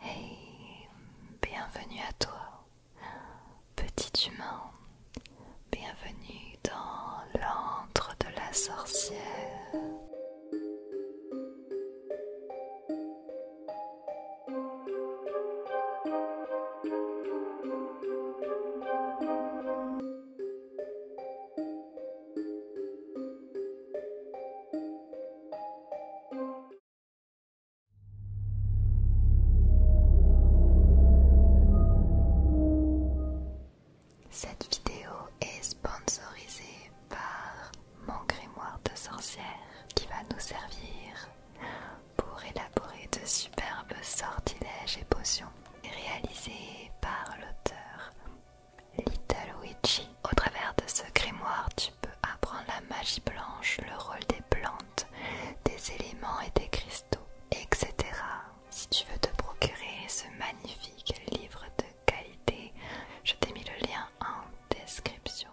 Hey, bienvenue à toi, petit humain. Bienvenue dans l'antre de la sorcière. Cette vidéo est sponsorisée par mon grimoire de sorcière qui va nous servir pour élaborer de superbes sortilèges et potions réalisés par l'auteur Little Witchy, au travers de ce grimoire, tu peux apprendre la magie blanche, le rôle des plantes, des éléments et des cristaux, etc. Si tu veux te procurer ce magnifique livre de qualité, je t'ai mis le lien en description.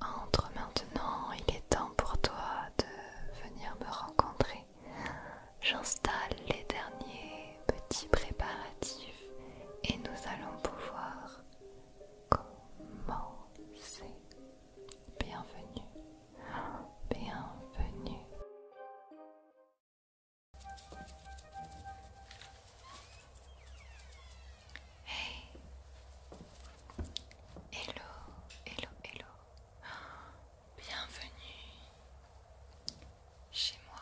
Entre maintenant, il est temps pour toi de venir me rencontrer j'installe les derniers petits préparatifs et nous allons pouvoir commencer. Bienvenue, bienvenue. Hey, hello, hello, hello. Bienvenue chez moi.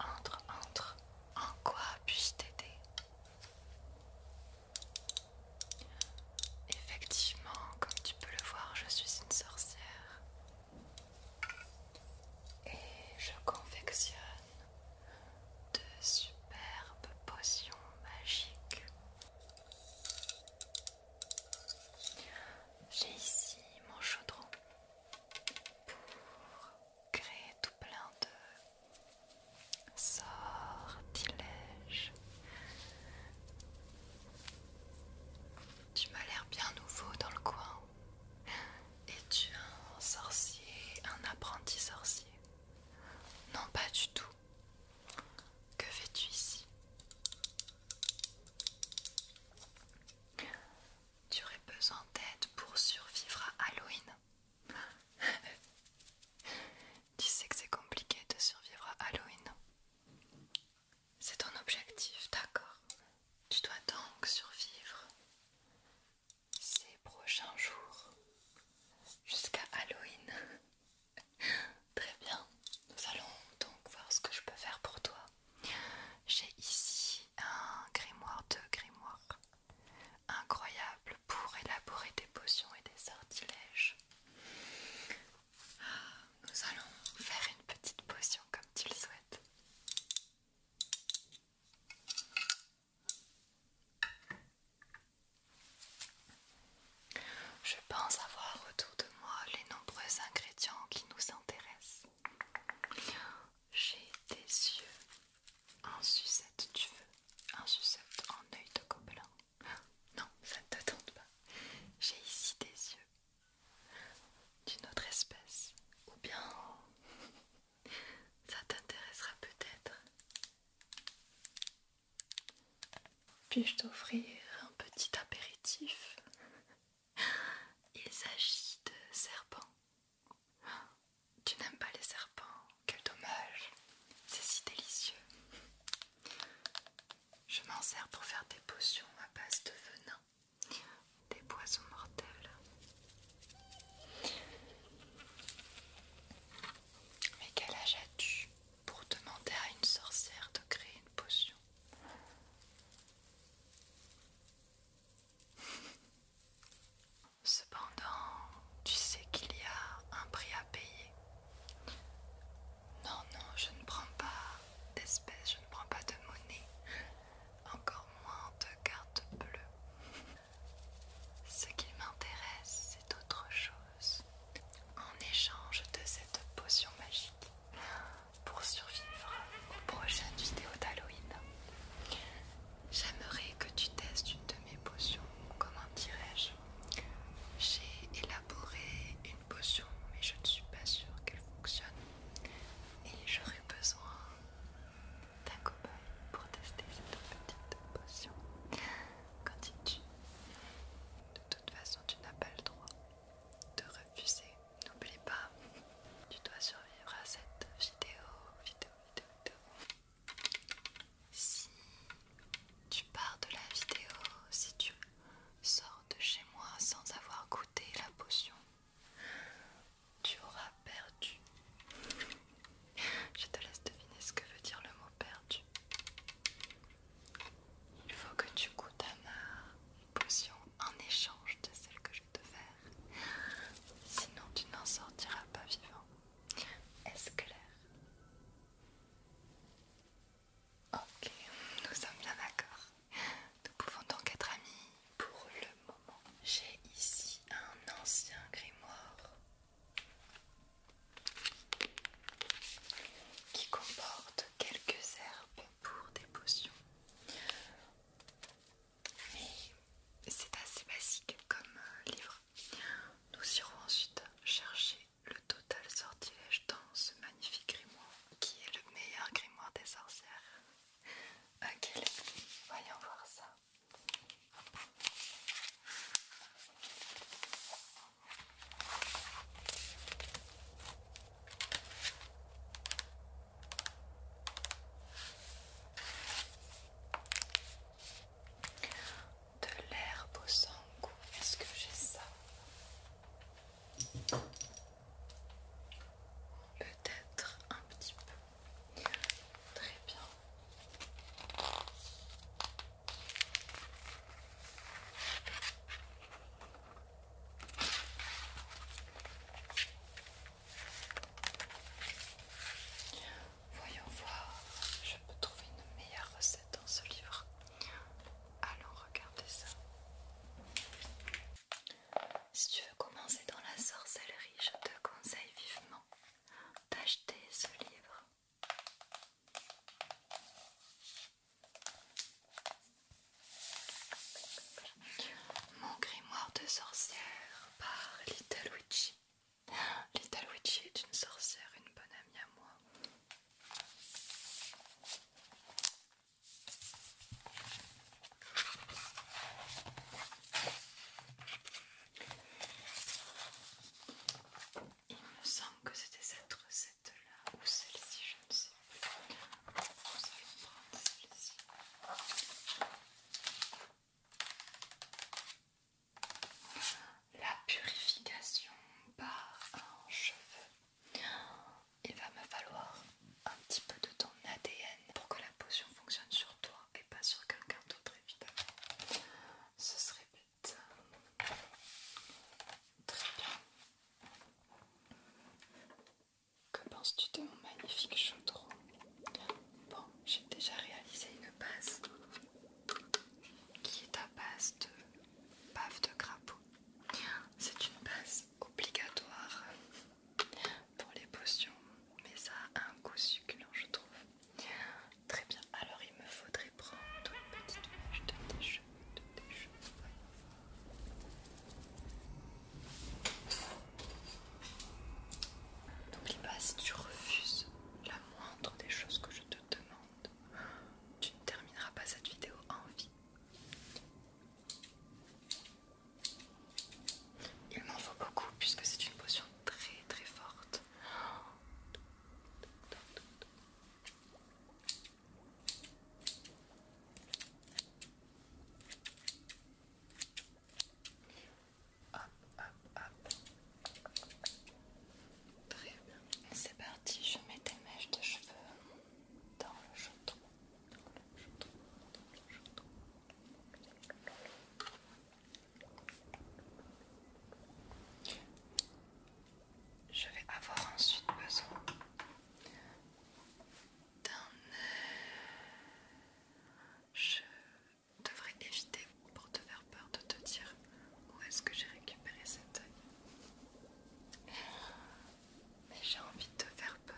Entre, entre. En quoi puis-je t'aider Effectivement, comme tu peux le voir, je suis une sorcière. Et je confectionne de superbes potions magiques. J'ai ici mon chaudron pour créer tout plein de sortilèges. Tu m'as l'air bien nouveau dans le coin. Es-tu un sorcier, un apprenti sorcier Non, pas du tout. Que fais-tu ici Tu aurais besoin d'aide pour survivre à Halloween. tu sais que c'est compliqué de survivre à Halloween. C'est ton objectif, d'accord. Tu dois donc survivre ces prochains jours jusqu'à Halloween. Très bien, nous allons donc voir ce que je peux faire pour toi. J'ai ici un grimoire de grimoire incroyable pour élaborer des potions et des sortilèges. Ah, nous allons faire une petite potion comme tu le souhaites. Je pense avoir autour de moi les nombreux ingrédients qui nous intéressent. J'ai des yeux en sucette, tu veux Un sucette en œil de gobelin Non, ça ne te tente pas. J'ai ici des yeux d'une autre espèce ou bien ça t'intéressera peut-être. Puis-je t'offrir un petit apéritif Il s'agit de serpents. Tu n'aimes pas les serpents Quel dommage C'est si délicieux. Je m'en sers pour faire des potions à base de venin des poissons mortels. Mais quel âge as-tu pour demander à une sorcière de créer une potion Cependant, tu sais qu'il y a un prix à payer. Non, non, je ne prends pas d'espèces, je ne prends pas de monnaie encore moins de cartes bleues. Ce qui m'intéresse, c'est autre chose. En échange de cette potion magique, pour survivre au prochaines vidéos d'Halloween, j'aimerais que tu testes une de mes potions. Comment dirais-je J'ai élaboré une potion, mais je ne suis pas sûre qu'elle fonctionne. Et j'aurai besoin d'un cobaye pour tester cette petite potion quand il De toute façon, tu n'as pas le droit de refuser. N'oublie pas, tu dois survivre à cette vidéo, vidéo, vidéo, vidéo. Si tu pars de la vidéo, si tu sors de chez moi sans avoir goûté la potion, tu auras perdu. Je te laisse deviner ce que veut dire le mot perdu. Il faut que tu goûtes à ma potion en échange de celle que je te faire. Sinon tu n'en sortiras pas vivant. Est-ce clair Ok, nous sommes bien d'accord. Nous pouvons donc être amis pour le moment. J'ai ici un ancien grimoire qui comporte quelques herbes pour des potions. Mais c'est assez basique comme euh, livre. Nous irons ensuite chercher le total sortilège dans ce magnifique grimoire qui est le meilleur grimoire des sorcières. Ok, voyons voir ça. De l'herbe au sang est-ce que j'ai ça Peut-être un petit peu. Très bien. Voyons voir, je peux trouver une meilleure recette dans ce livre. Allons regarder ça. Si tu veux commencer dans la sorcellerie, je te conseille vivement d'acheter ce livre. Mon grimoire de sorcière par Little Witchy. Little Witchy est une sorcière, une bonne amie à moi. Il me semble que c'était cette recette-là ou celle-ci, je ne sais plus. La purification par un cheveu il va me falloir un petit peu de ton ADN pour que la potion fonctionne sur toi et pas sur quelqu'un d'autre évidemment. Ce serait bête. Très bien. Que penses-tu de mon magnifique chaudron Bon, j'ai déjà réalisé une base qui est à base de bave de crapaud c'est une base obligatoire pour les potions, mais ça a un goût succulent, je trouve. Très bien, alors il me faudrait prendre une petite mèche de tes cheveux, tes cheveux. N'oublie pas, si tu refuses la moindre des choses que je te demande, tu ne termineras pas cette vidéo en vie. Il m'en faut beaucoup puisque c'est une potion très très forte. Très bien. C'est parti, je mets des mèches de cheveux dans le jeton. Je vais avoir ensuite besoin d'un. Je devrais éviter pour te faire peur de te dire où est-ce que j'ai récupéré cette œil. Mais j'ai envie de te faire peur.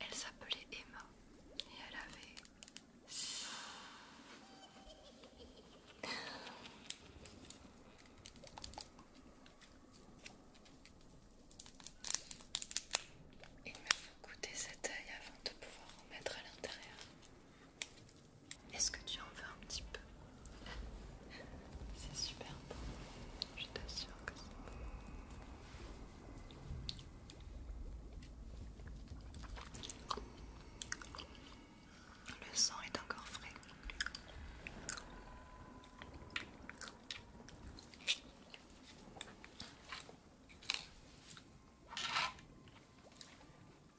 Elle s'appelait Emma et elle avait... Il me faut goûter cet œil avant de pouvoir en mettre à l'intérieur. Est-ce que tu en veux un petit peu C'est super bon, je t'assure que c'est bon. Le sang est encore frais.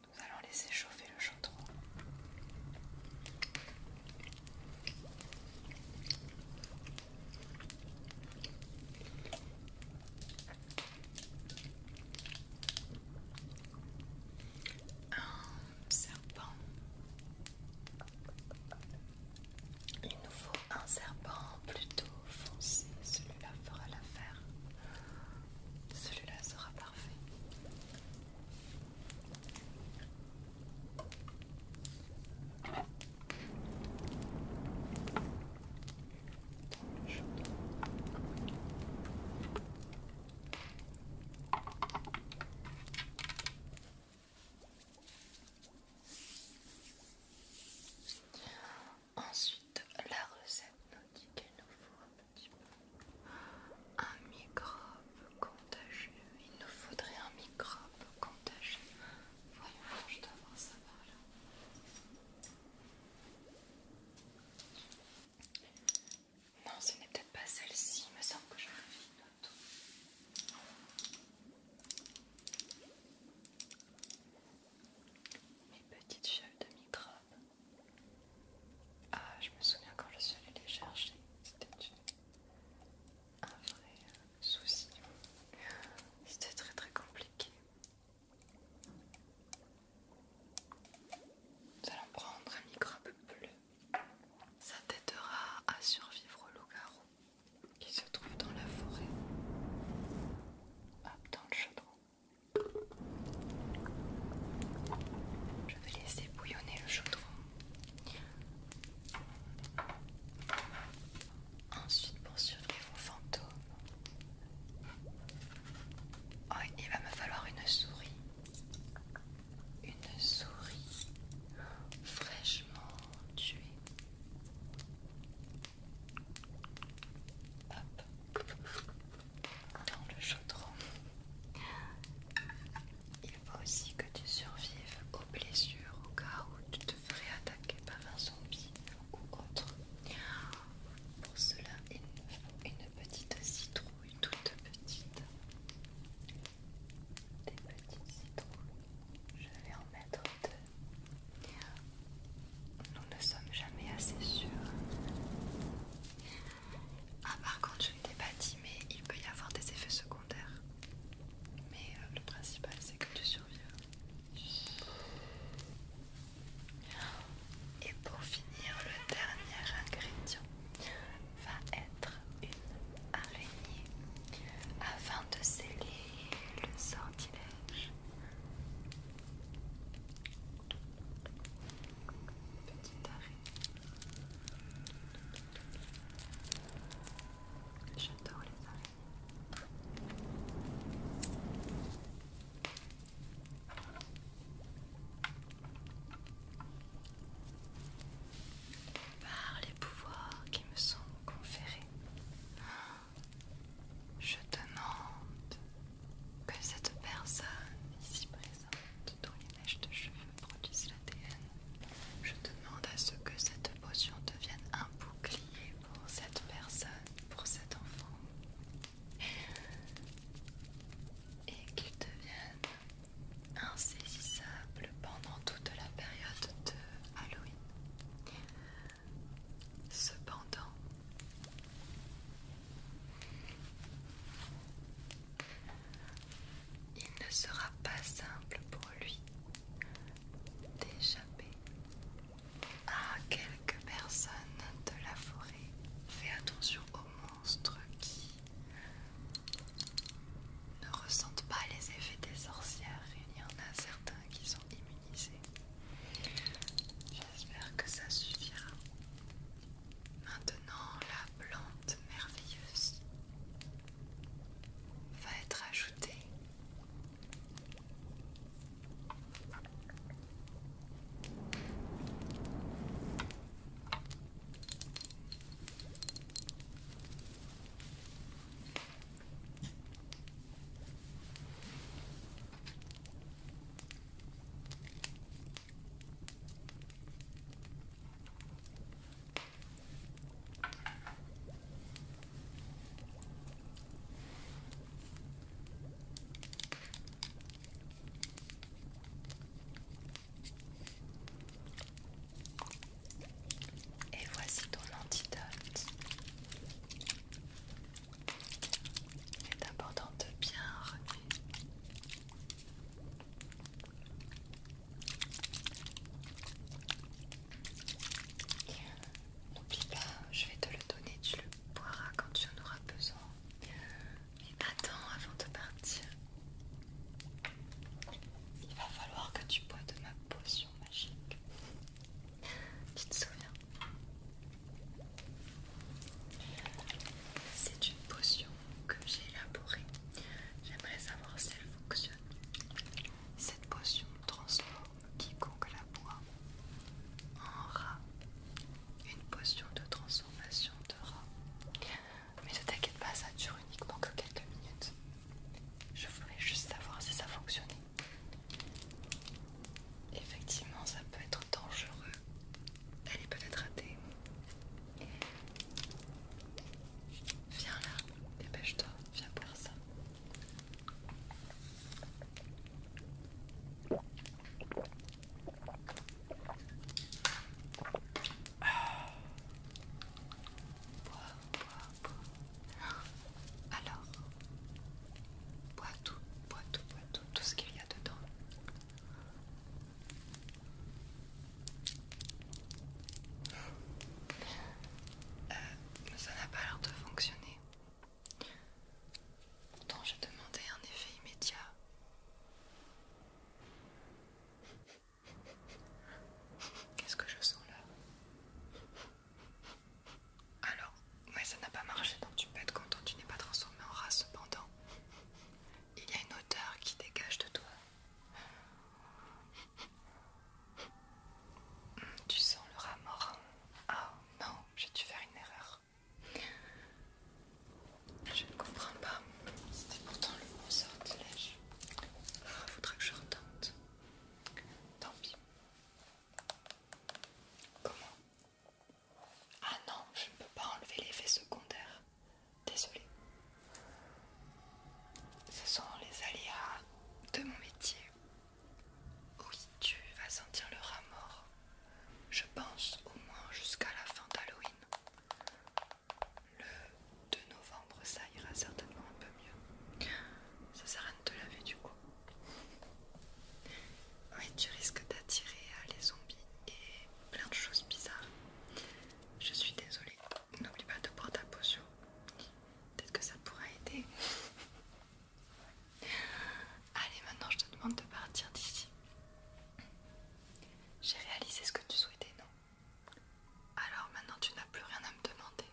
Nous allons laisser chauffer le chaudron. Un serpent. Il nous faut un serpent plutôt foncé. Celui-là fera l'affaire. Celui-là sera parfait. Ensuite, la recette nous dit qu'il nous faut un microbe contagieux. Il nous faudrait un microbe contagieux. Voyons, je dois avoir ça par là. Non, ce n'est peut-être pas celle-ci. Il me semble que j'en une autre. Mes petites feuilles de microbes. Ah, je me souviens quand je suis allée les chercher, c'était un vrai euh, souci. C'était très très compliqué. Nous allons prendre un microbe bleu. Ça t'aidera à survivre au loup qui se trouve dans la forêt. Hop, dans le chaudron. Je vais laisser bouillonner le chaudron. Ensuite, pour surveiller vos fantômes, oh, il va me falloir une souris. Une souris fraîchement tuée. Hop dans le chaudron. Il faut aussi que tu survives aux blessures au cas où tu te ferais attaquer par un zombie ou autre. Pour cela, il nous faut une petite citrouille toute petite. Des petites citrouilles. Je vais en mettre deux. Nous ne sommes jamais assez sûrs. Ah, part quand je ne pas dit, il peut y avoir des effets secondaires. Mais euh, le principal, c'est que tu survives. Et pour finir, le dernier ingrédient va être une araignée afin de sceller le sortilège. J'adore les arrêts. Par les pouvoirs qui me sont conférés, je demande que cette personne ici présente, dont les mèches de cheveux produisent l'ADN, je demande à ce que cette potion devienne un bouclier pour cette personne, pour cet enfant, et qu'il devienne insaisissable pendant toute la période de Halloween. Cependant, il ne sera pas simple pour lui d'échapper à quelques personnes de la forêt. Fais attention aux monstres qui ne ressentent pas les effets des sorcières. Il y en a certains qui sont immunisés. J'espère que ça suffira. Maintenant, la plante merveilleuse va être ajoutée. Et voici ton antidote. Il est important de bien remuer. N'oublie pas, je vais te le donner, tu le boiras quand tu en auras besoin. Mais attends avant de partir. Il va falloir que tu bois de ma potion magique. Tu te souviens c'est une potion que j'ai élaborée. J'aimerais savoir si elle fonctionne. Cette potion transforme quiconque la boit en rat. Une potion de transformation de rat. Mais ne t'inquiète pas, ça dure uniquement que quelques minutes. Je voulais juste savoir si ça fonctionnait. Effectivement, ça peut être dangereux. Elle est peut-être ratée. Viens là, dépêche-toi, viens boire ça. Ah. Alors, Bois tout, bois tout, bois tout, ce qu'il y a dedans. Euh, ça n'a pas l'air de fonctionner. Pourtant, j'ai demandé un effet immédiat. Qu'est-ce que je sens là alors, ouais, ça n'a pas marché, donc tu peux être content, tu n'es pas transformé en rat cependant. Il y a une odeur qui dégage de toi. Tu sens le rat mort. Ah non, j'ai dû faire une erreur. Je ne comprends pas. C'était pourtant le bon sortilège. Il ah, faudra que je retente. Tant pis. Comment Ah non, je ne peux pas enlever l'effet secondaire. Désolée. Ce sont les aléas de mon métier. Oui, tu vas sentir le rat mort. Je pense au moins jusqu'à la fin d'Halloween. Le 2 novembre, ça ira certainement un peu mieux. Ça sert à rien de te laver du coup. Oui, tu risques d'attirer euh, les zombies et plein de choses bizarres. Je suis désolée. N'oublie pas de prendre ta potion. Peut-être que ça pourra aider. Allez, maintenant je te demande de partir d'ici. J'ai réalisé ce que tu souhaitais, non Alors maintenant tu n'as plus rien à me demander.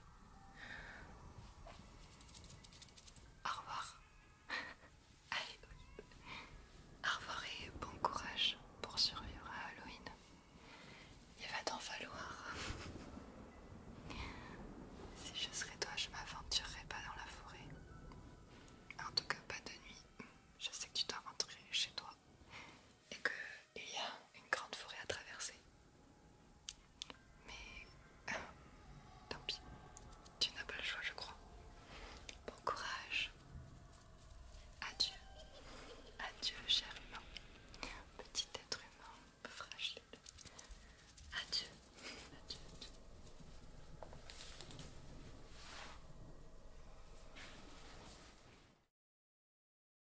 Au revoir. Allez, Au revoir et bon courage pour survivre à Halloween. Il va t'en falloir. Si je serais toi, je m'aventurerais pas dans la forêt. En tout cas, pas de nuit. Je sais que tu dois rentrer chez toi et qu'il y a une grande forêt à traverser. Mais euh, tant pis, tu n'as pas le choix, je crois. Bon courage. Adieu. Adieu, cher humain. Petit être humain fragile. Adieu. adieu.